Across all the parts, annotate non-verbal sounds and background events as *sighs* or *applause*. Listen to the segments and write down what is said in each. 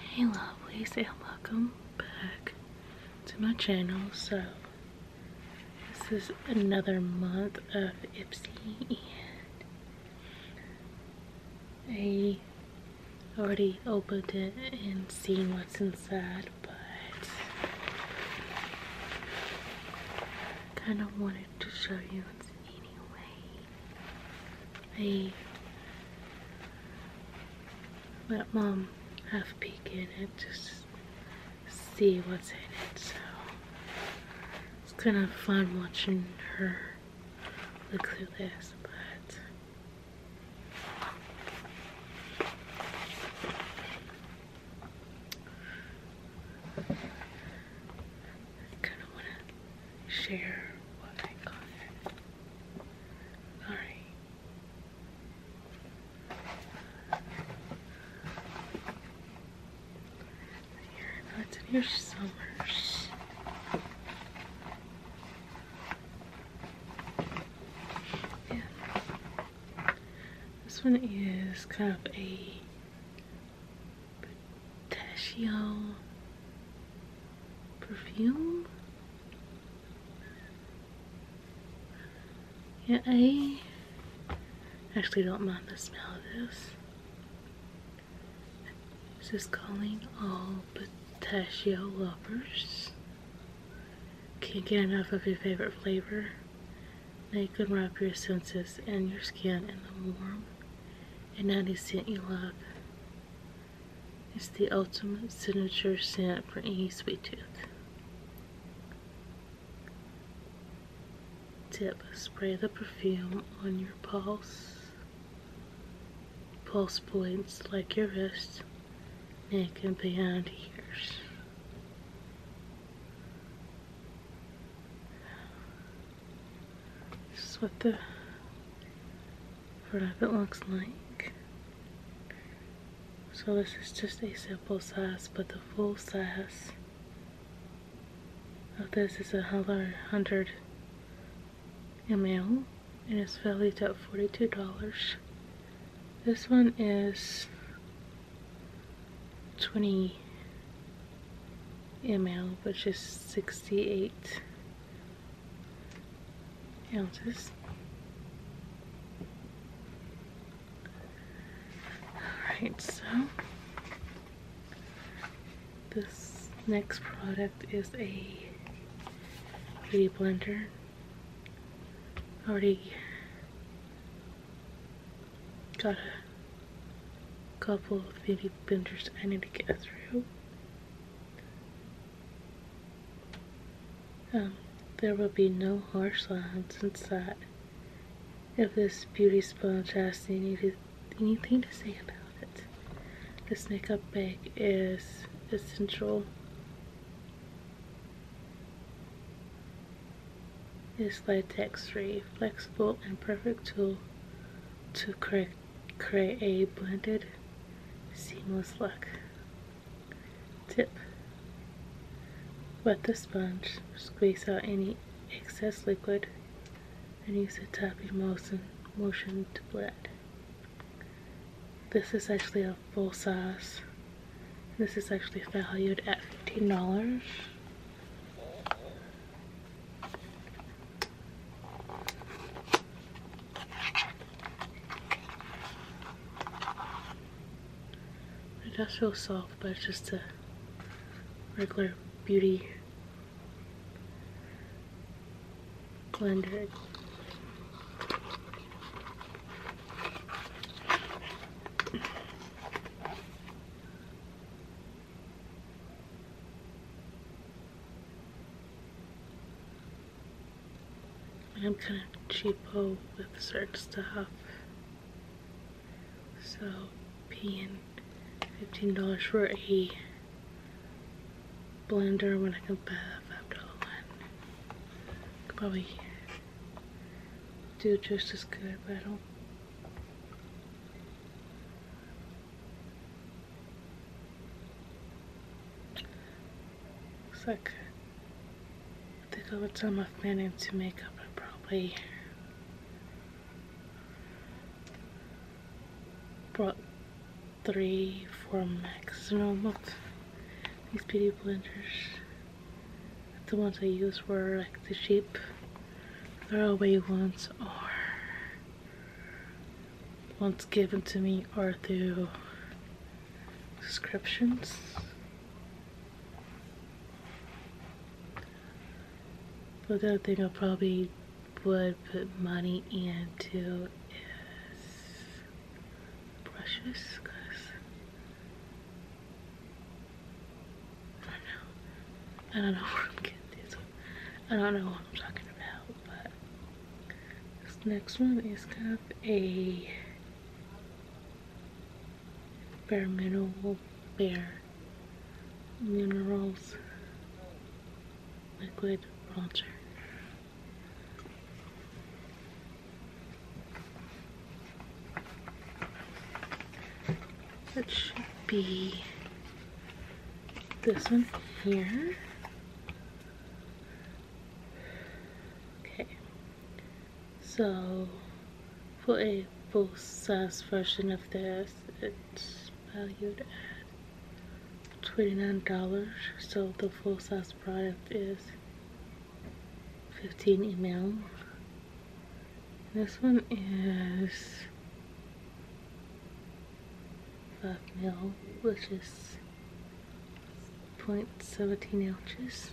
Hey lovelies and welcome back to my channel. So this is another month of Ipsy and I already opened it and seen what's inside but kind of wanted to show you anyway. I let mom have a peek in it just see what's in it so it's kind of fun watching her look through this but kind of want to share what I got. Alright. you not in your summers. Yeah. This one is kind of a pistachio perfume. Yeah, I actually don't mind the smell of this. This is calling all pistachio lovers. Can't get enough of your favorite flavor. They can wrap your senses and your skin in the warm and 90 cent you love. It's the ultimate signature scent for any sweet tooth. Tip, spray the perfume on your pulse, pulse points like your wrists, neck, and behind ears. This is what the front of it looks like. So this is just a simple size, but the full size of this is another hundred ml and it's valued at $42. This one is 20 ml, which is 68 ounces. Alright, so this next product is a beauty blender. Already Got a couple of baby benders I need to get through. Um, there will be no harsh lines inside. If this beauty sponge has any, anything to say about it, this makeup bag is essential is latex-free, flexible, and perfect tool to create a blended, seamless look. Tip. Wet the sponge, squeeze out any excess liquid, and use a tapping motion, motion to blend. This is actually a full size. This is actually valued at $15. It does feel soft, but it's just a regular beauty blender. I'm kind of cheapo with certain stuff. So paying $15 for a blender when I can buy a $5 one. Could probably do just as good, but I don't Looks like I think I would time I've managed to make up I probably brought three for maximum of these beauty blenders the ones I use were like the cheap throwaway ones or ones given to me or through subscriptions. But the other thing I probably would put money into is brushes because I don't know I'm getting this I don't know what I'm talking about, but this next one is kind of a bare mineral, bare minerals liquid bronzer. That should be this one here. Okay, so for a full size version of this, it's valued at $29. So the full size product is 15 ml. This one is 5 ml, which is 0.17 ounces.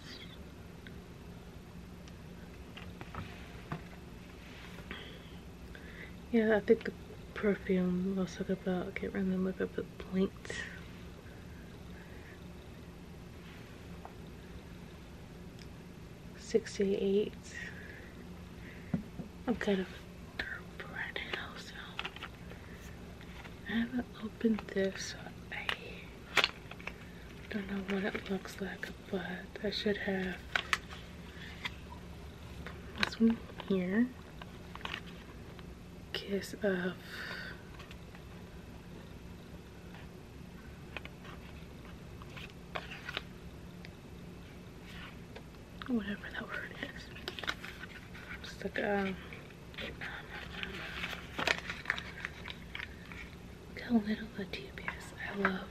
Yeah, I think the perfume we'll talk about. I can't remember if I put point. 68. I'm kind of through right now, so I haven't opened this. So I don't know what it looks like, but I should have this one here. Kiss of Whatever that word is. It's like, um, Tell little I love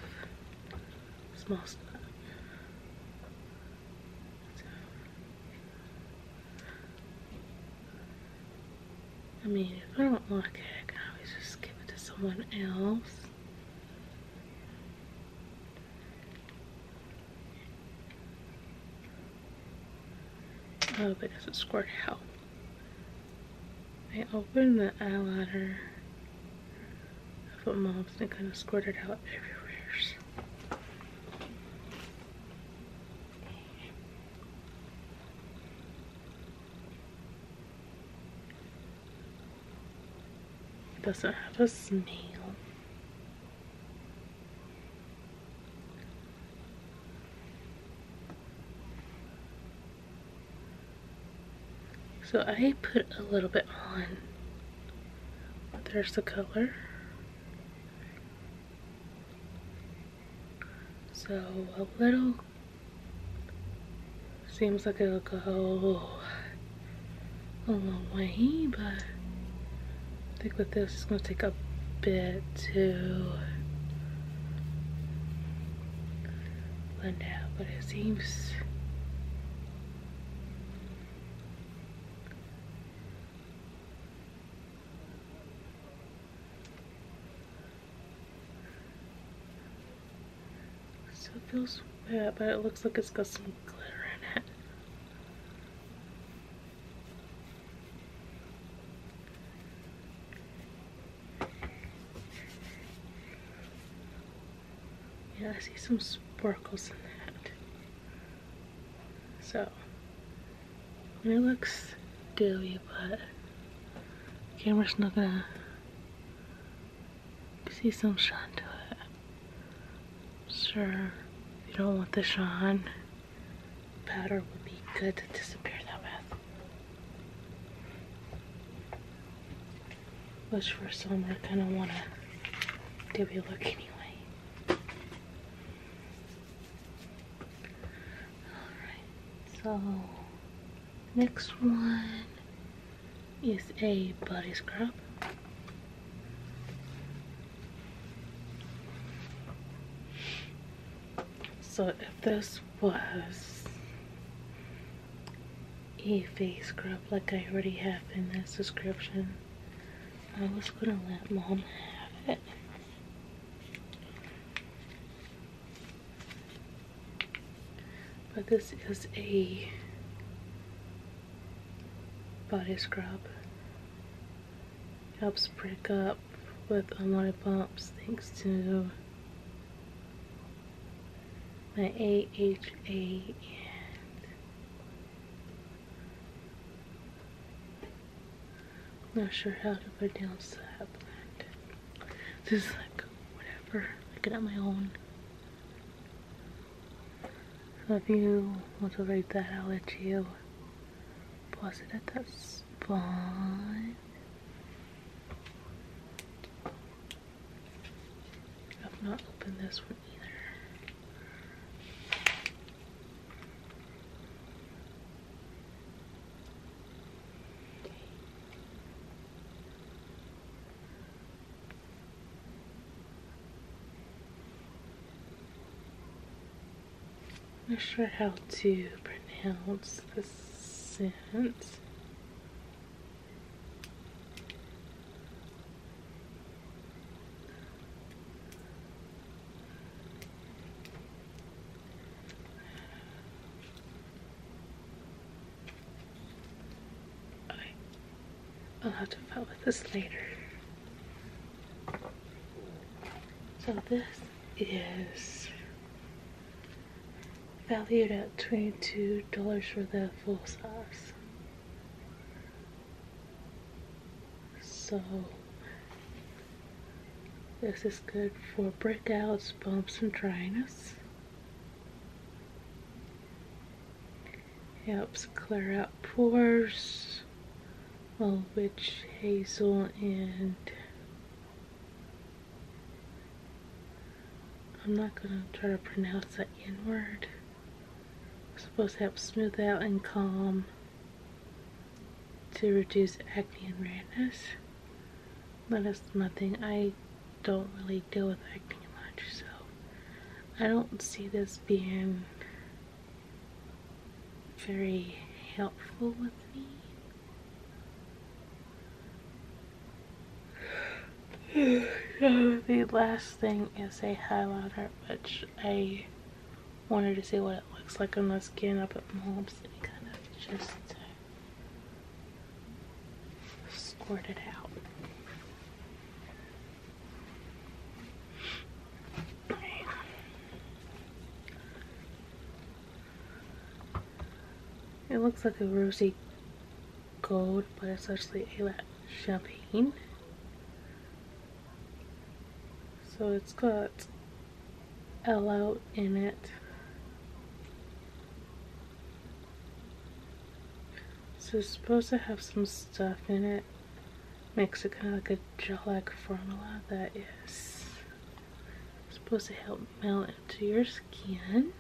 small stuff. I mean, if I don't like it, I can always just give it to someone else. Oh, but does it squirt out? I opened the eyeliner. I put mobs and kind of squirted out everywhere doesn't have a smell. So I put a little bit on. there's the color. So a little seems like it'll go a long way, but I think with this it's gonna take a bit to blend out, but it seems so it feels wet, but it looks like it's got some glitter in it. Yeah, I see some sparkles in that. So it looks dewy, but the camera's not gonna see some shine to it. Sure, you don't want the shine, powder would be good to disappear that with. Which for summer, I kinda wanna dewy look anyway so next one is a body scrub. So if this was a face scrub like I already have in this description, I was gonna let mom have it. But this is a body scrub. Helps break up with a lot of bumps thanks to my AHA I'm not sure how to pronounce that brand. This is like whatever. I get it on my own. So if you want to rate that, I'll let you pause it at the spot. I've not opened this one either. Not sure how to pronounce the sentence. Okay. I'll have to fill with this later. So this is valued at $22 for the full size. So this is good for breakouts, bumps, and dryness. Helps clear out pores, of which hazel and I'm not going to try to pronounce that N word. supposed to help smooth out and calm to reduce acne and redness. But it's nothing. I don't really deal with acne much, so I don't see this being very helpful with me. *sighs* the last thing is a highlighter, which I wanted to see what it looks like on my skin. I put mobs and kind of just uh, squirted it out. It looks like a rosy gold, but it's actually a champagne so it's got L out in it so it's supposed to have some stuff in it makes it kind of like a gel-like formula that is supposed to help melt into your skin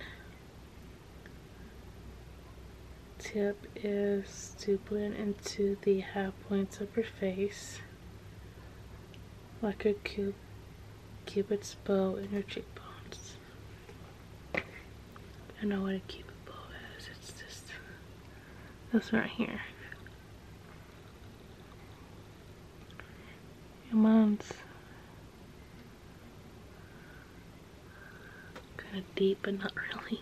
tip is to blend into the half points of her face like a cube, cupid's bow in her cheekbones. I know what a cupid bow is. It's just this right here. Your mom's kind of deep, but not really.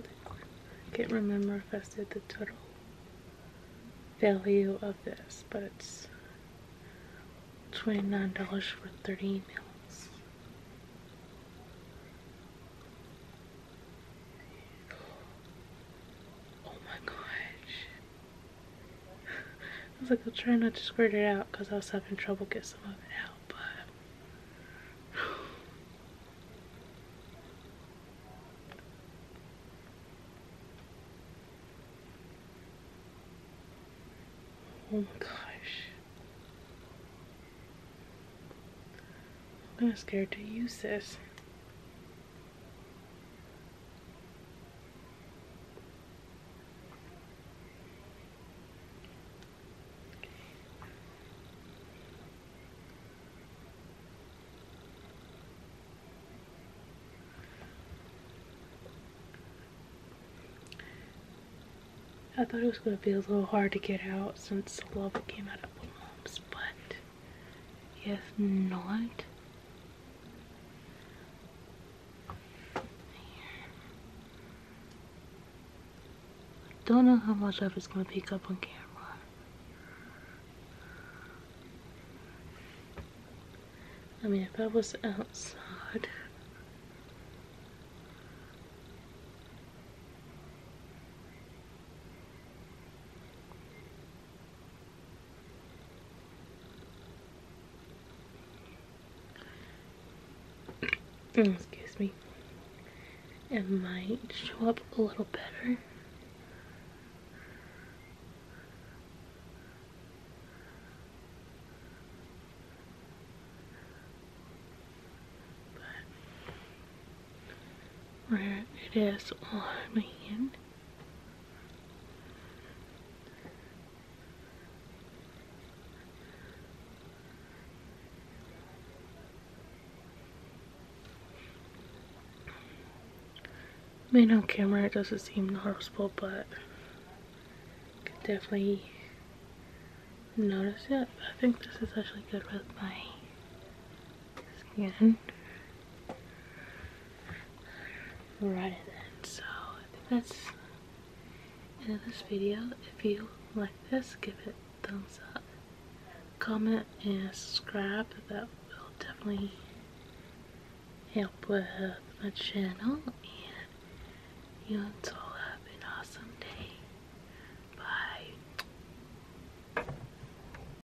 I can't remember if I said the total value of this, but it's $29 for 30 meals. Oh my gosh. I was like, I'll try not to squirt it out because I was having trouble get some of it out, but. *sighs* Oh my gosh. I'm kind scared to use this. I thought it was going to be a little hard to get out since the lava came out of the lumps, but you not. I don't know how much of it's going to pick up on camera. I mean, if I was outside, Mm, excuse me. It might show up a little better. But it is on my hand. I mean, on camera it doesn't seem noticeable, but I could definitely notice it. I think this is actually good with my skin right So I think that's end of this video. If you like this, give it thumbs up, comment, and subscribe. That will definitely help with my channel. And you until have an awesome day. Bye.